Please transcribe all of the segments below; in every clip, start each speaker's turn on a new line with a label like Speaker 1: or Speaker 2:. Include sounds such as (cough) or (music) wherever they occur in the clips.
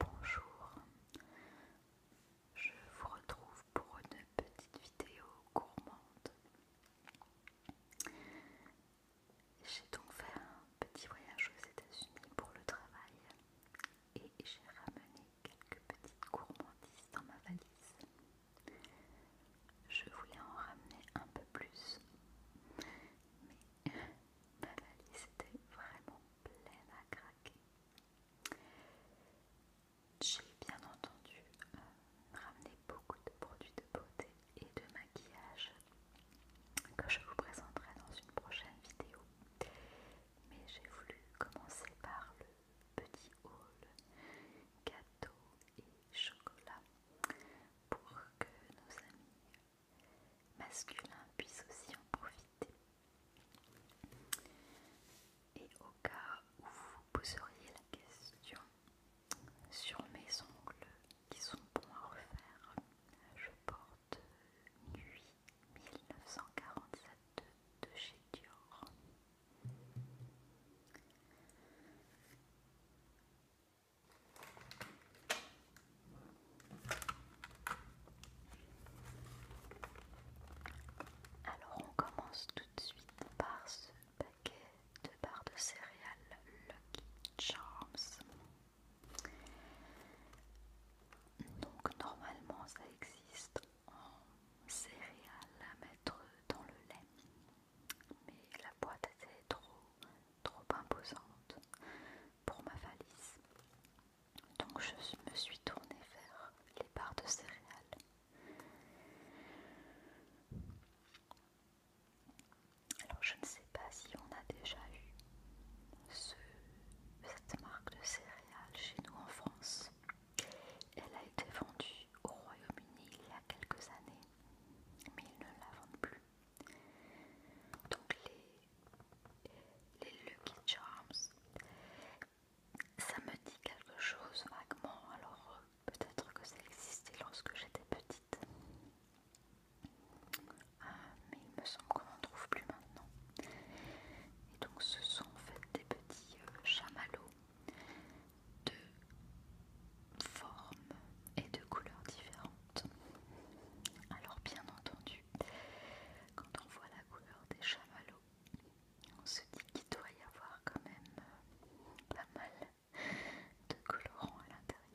Speaker 1: Bonjour, je vous retrouve pour une petite vidéo gourmande. J'ai donc fait un petit voyage aux États-Unis pour le travail et j'ai ramené quelques petites gourmandises dans ma valise. Je voulais en ramener un peu plus, mais Ma valise était vraiment pleine à craquer. J'ai bien entendu euh, ramené beaucoup de produits de beauté et de maquillage que je vous présenterai dans une prochaine vidéo. Mais j'ai voulu commencer par le petit haul gâteau et chocolat pour que nos amis masculin puisse aussi en profiter. Et au cas où vous poseriez la question sur mes ongles qui sont pour à refaire, je porte Nuit 1947 de chez Dior. Alors on commence tout de suite par ce paquet de barres de céréales Lucky Charms. Donc normalement ça existe en céréales à mettre dans le lait, mais la boîte était trop trop imposante pour ma valise. Donc je me suis tournée vers les barres de céréales. Alors je ne sais pas si on a déjà eu ce, cette marque de céréales chez nous en France. Elle a été vendue au Royaume-Uni il y a quelques années, mais ils ne la vendent plus. Donc les, Lucky Charms, ça me dit quelque chose vaguement, alors euh, peut-être que ça existait lorsque j'étais petite. Ah, mais il me semble qu'on n'en trouve plus maintenant. Et donc ce sont en fait des petits chamalots euh, chamallows de formes et de couleurs différentes. Alors bien entendu, quand on voit la couleur des chamallows, on se dit qu'il doit y avoir quand même euh, pas mal de colorants à l'intérieur.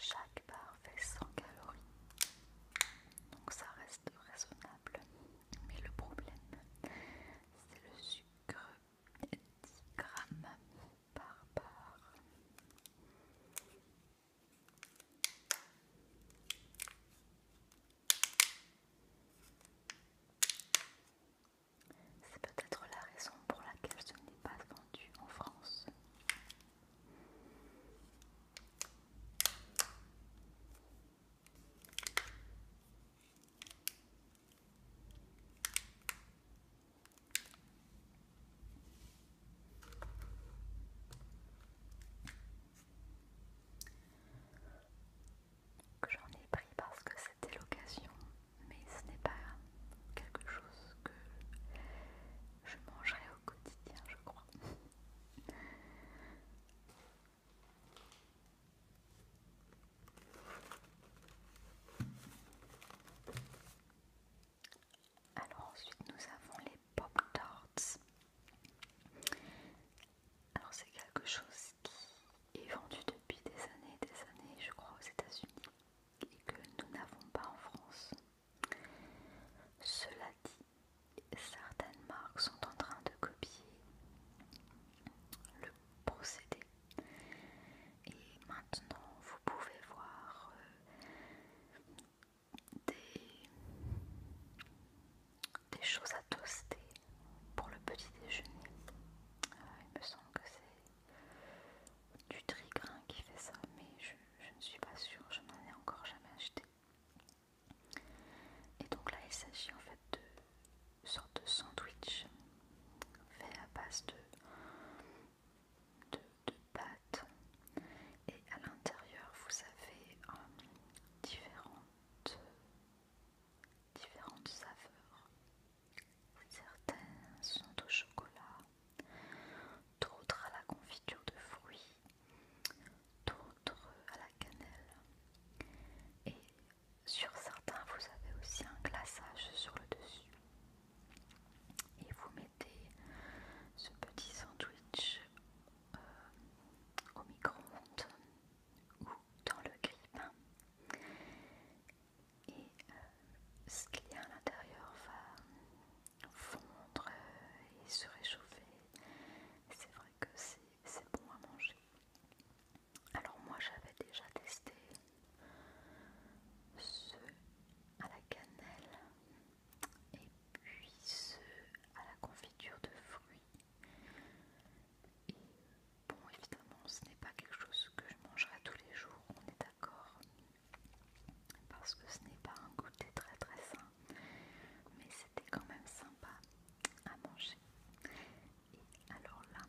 Speaker 1: Chaque barre fait 100 calories, donc ça reste raisonnable. Mais le problème, c'est le sucre 10 grammes par barre. C'est peut-être la raison pour laquelle ce n'est pas vendu en France que J'en ai pris parce que c'était l'occasion, mais ce n'est pas quelque chose que je mangerai au quotidien, je crois. (laughs) Alors ensuite nous avons les pop tarts. Alors c'est quelque chose qui est vendu depuis des années et des années, je crois, aux États-Unis et que nous n'avons pas en France. Cela dit, certaines marques sont en train de copier le procédé. Et maintenant, vous pouvez voir euh, des des choses à toaster pour le petit déjeuner. Euh, il me semble que c'est du trigrain qui fait ça, mais je, ne suis pas sûre, je n'en ai encore jamais acheté. Et donc là, il s'agit en fait de sorte de sandwich fait à base de, de, pâte et à l'intérieur vous avez euh, différentes différentes saveurs. Certaines sont au chocolat, d'autres à la confiture de fruits, d'autres à la cannelle. Et sur certains, vous avez aussi un glaçage sur le dessus. Et vous mettez ce petit sandwich euh, au micro-ondes ou dans le grille Et euh, ce qu'il y a à l'intérieur va fondre et se réchauffer. C'est vrai que c'est bon à manger. Alors moi j'avais déjà testé ceux à la cannelle et puis ceux à la confiture de fruits. Bon, évidemment, ce n'est pas quelque chose que je mangerai tous les jours, on est d'accord, parce que ce n'est pas un goûter très très sain, mais c'était quand même sympa à manger. Et alors là,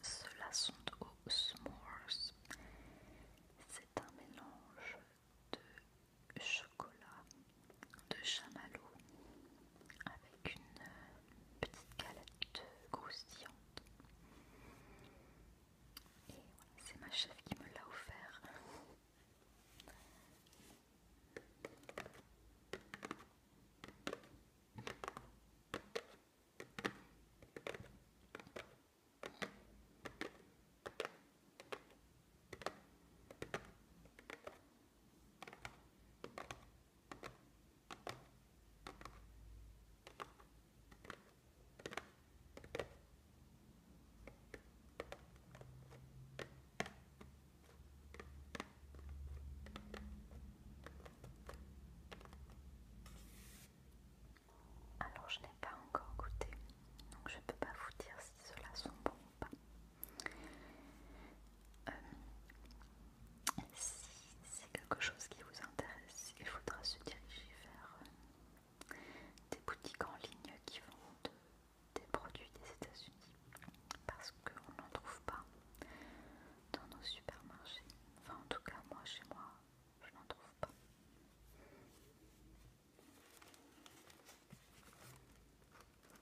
Speaker 1: ceux-là sont aux s'mores. C'est un mélange de chocolat de chamallow avec une euh, petite galette croustillante. Et voilà, c'est ma chef qui me l'a offert. Alors je n'ai pas encore goûté, donc je ne peux pas vous dire si cela sont bons ou pas si c'est quelque chose qui vous intéresse, il faudra se diriger vers euh, des boutiques en ligne qui vendent des produits des États-Unis parce qu'on n'en trouve pas dans nos supermarchés. Enfin, en tout cas, moi chez moi, je n'en trouve pas.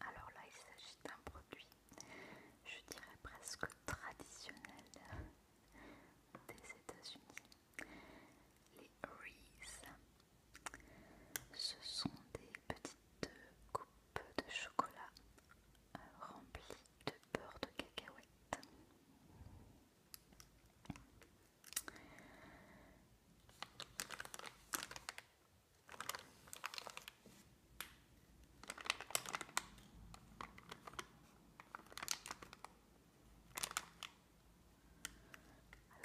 Speaker 1: Alors là, il s'agit d'un produit, je dirais presque traditionnel des États-Unis. Les Reese, ce sont des petites coupes de chocolat euh, remplies de beurre de cacahuète.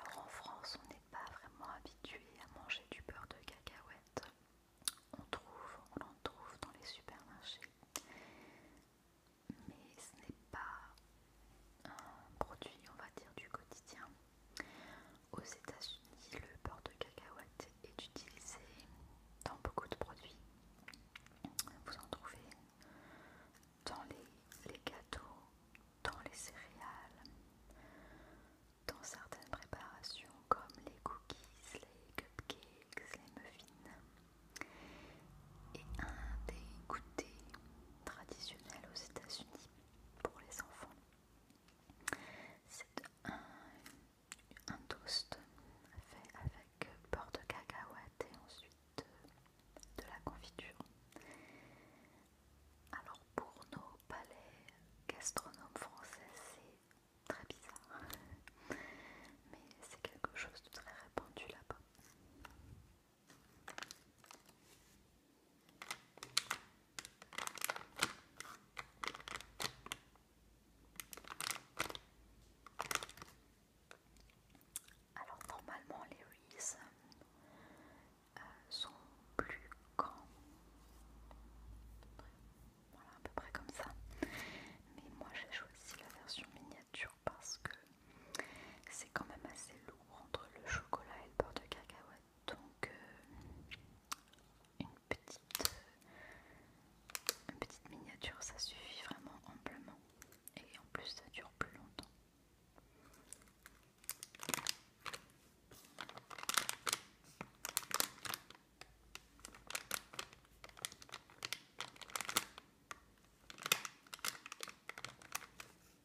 Speaker 1: Alors en France, on n'est pas vraiment habitué à manger du beurre de cacahuète. On trouve, on en trouve dans les supermarchés. Mais ce n'est pas un produit, on va dire, du quotidien. Aux États-Unis, le beurre de cacahuète est utilisé dans beaucoup de produits. Vous en trouvez dans les, gâteaux, dans les céréales, dans certaines préparations comme les cookies, les cupcakes, les muffins. Et un des goûters traditionnels aux États-Unis pour les enfants c'est un, toast fait avec beurre de cacahuète et ensuite euh, de la confiture. Alors pour nos palais gastronomes français, c'est très bizarre, mais c'est quelque chose de très répandu là-bas. Alors normalement les Reese euh, sont plus grands, voilà à peu près comme ça. Mais moi j'ai choisi la version miniature parce que c'est quand même assez lourd entre le chocolat et le beurre de cacahuète donc euh, une petite, une petite miniature, ça suffit vraiment amplement et en plus ça dure plus longtemps.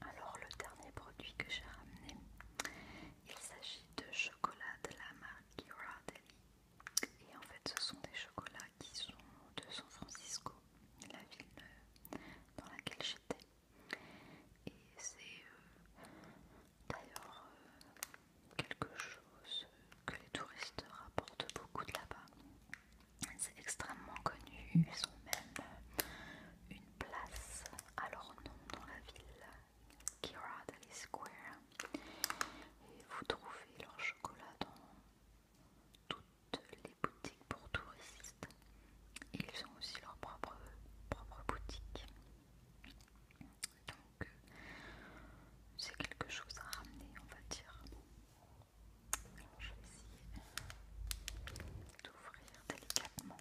Speaker 1: Alors le dernier produit que j'ai ramené, il s'agit de chocolat de la marque Ghirardelli. Et en fait ce sont des chocolats qui sont de San Francisco, la ville euh, dans laquelle j'étais. Et c'est euh, d'ailleurs euh, quelque chose que les touristes rapportent beaucoup de là-bas. C'est extrêmement connu, ils ont même une place à leur nom dans la ville, Kiradley Square, et vous trouvez leur chocolat dans toutes les boutiques pour touristes. ils ont aussi leur propre, propre boutique. Donc, euh, c'est quelque chose à ramener, on va dire. je vais essayer d'ouvrir délicatement.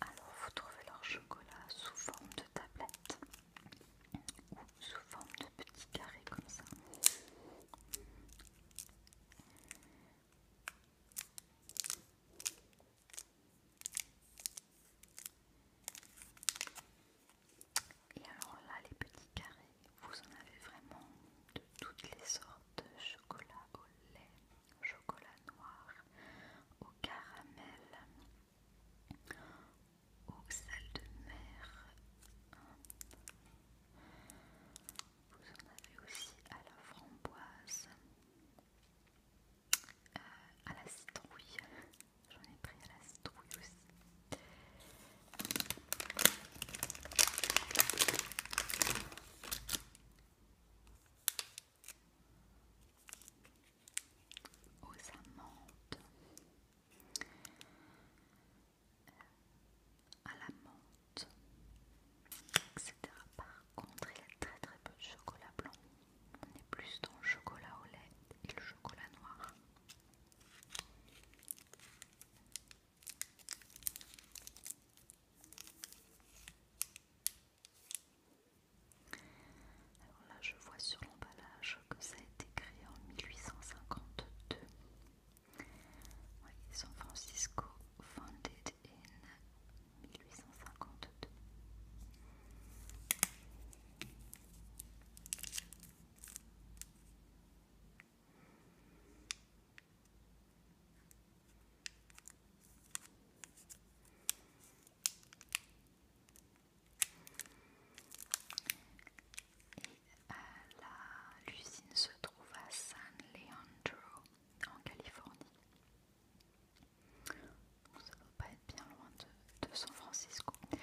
Speaker 1: Alors vous trouvez leur chocolat sous forme de tablette ou sous forme de petits carrés comme ça. Et alors là, les petits carrés, vous en avez vraiment de toutes les sortes chocolat au lait, chocolat noir, au caramel, au sel de mer. Vous en avez aussi à la framboise. Euh, à la citrouille. J'en ai pris à la citrouille aussi. Aux amandes, euh, à la menthe, etc contre, il y a très très peu de chocolat blanc. On est plus dans le chocolat au lait et le chocolat noir. Alors là, je vois sur l'emballage que ça a été créé en 1852. Oui, San Francisco, founded in 1852. Et euh, l'usine se trouve à San Leandro en Californie. Ça ne doit pas être bien loin de, San Francisco, mais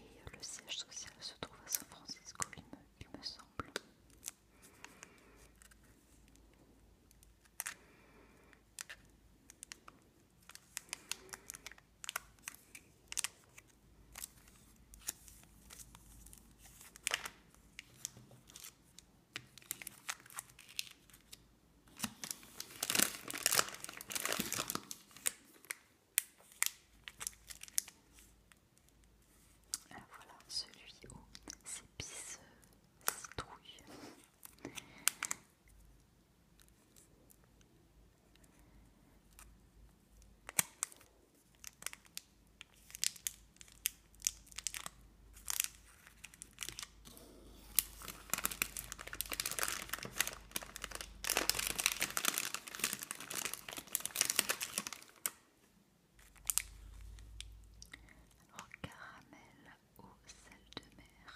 Speaker 1: euh, le siège social se trouve à San Francisco, il me semble voilà, celui où c'est euh, pisse citrouille caramel au sel de mer.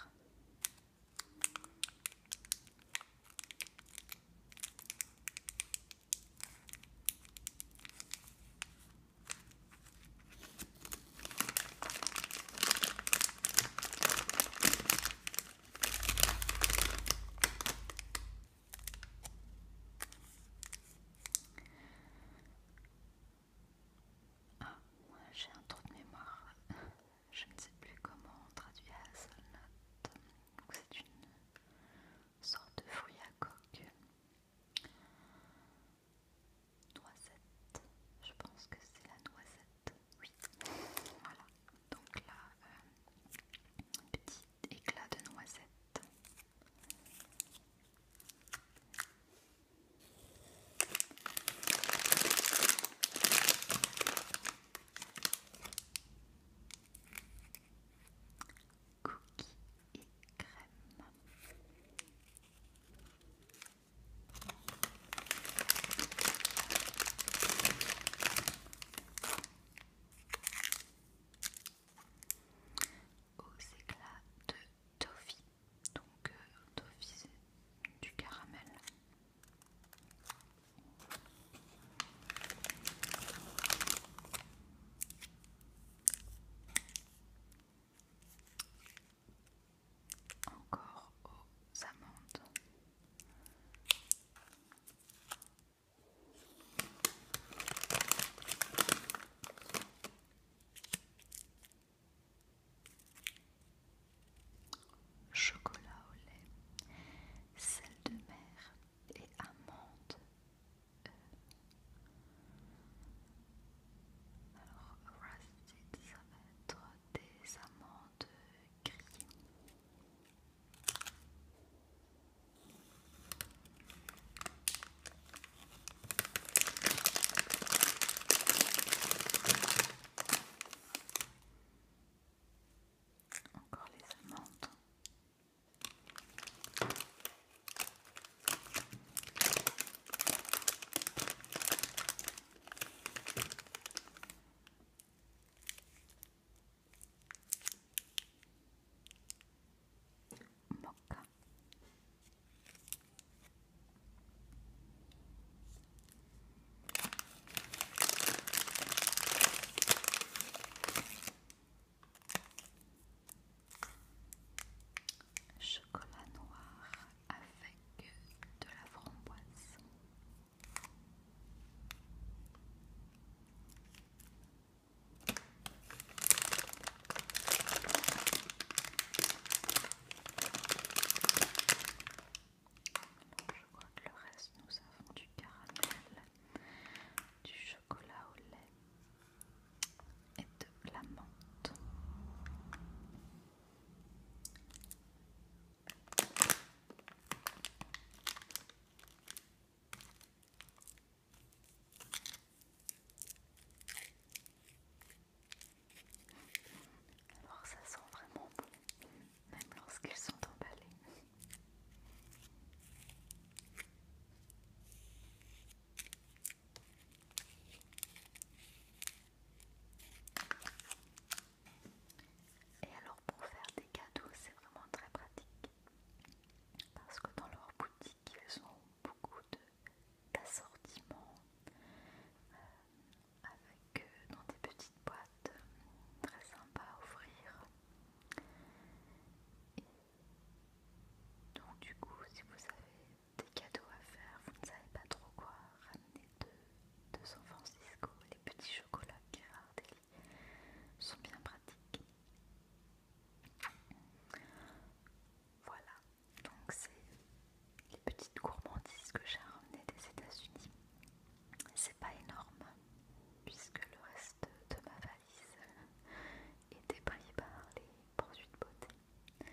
Speaker 1: Ah, j'ai un trou de mémoire. Je ne sais plus comment la seule note, C'est une sorte de fruit à coque noisette. Je pense que c'est la noisette. Oui. Voilà. Donc là, un euh, petit éclat de noisette. cookie et crème. Aux éclats de toffee, donc euh, du caramel. Encore aux amandes. Chocolat au lait, sel de mer et amandes euh, alors, que ça va être des amandes grillées. Encore les amandes chocolat noir avec de la framboise. je crois que le reste, nous avons du caramel, du chocolat au lait et de la menthe. Alors ça sent vraiment bon, même lorsqu'ils sont emballés. Et alors pour faire des cadeaux, c'est vraiment très pratique parce que dans leur boutique, ils ont beaucoup d'assortiments euh, avec euh, dans des petites boîtes euh, très sympas à ouvrir. donc du coup, si vous avez des cadeaux à faire, vous ne savez pas trop quoi ramener de, de San Francisco. Les petits chocolats Ghirardelli sont bien pratiques. Voilà, donc c'est les petites gourmandises que j'ai ramenées des États-Unis. C'est pas énorme puisque le reste de ma valise était (laughs) pris par les de beauté. Voilà.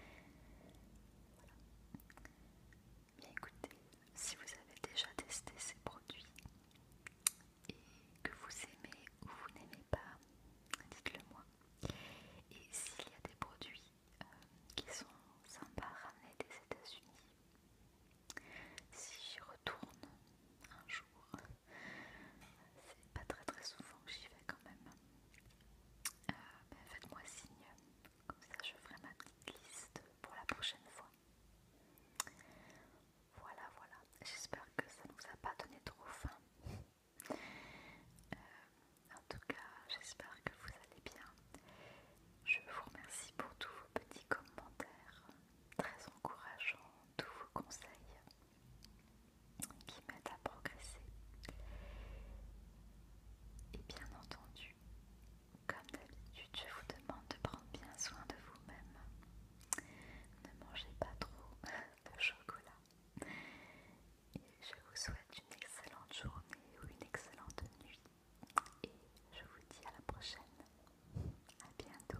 Speaker 1: Bien écoutez, si vous avez déjà testé ces produits et que vous aimez ou vous n'aimez pas, dites-le moi. Et s'il y a des produits euh, qui sont sympas à des États-Unis, si j'y retourne un jour, c'est pas très très souvent que j'y vais quand même. Euh, ben, faites-moi signe, comme ça je ferai ma petite liste pour la prochaine fois. Voilà, voilà, j'espère que ça ne vous a pas donné trop faim. Euh, en tout cas, j'espère que vous allez bien. Je vous remercie pour tous vos petits commentaires très encourageants, tous vos conseils qui m'aident à progresser. Et bien entendu, comme d'habitude, je vous demande de prendre bien soin de vous-même. Ne mangez pas trop (laughs) de chocolat. Et je vous souhaite une excellente journée ou une excellente nuit. Et je vous dis à la prochaine. À bientôt.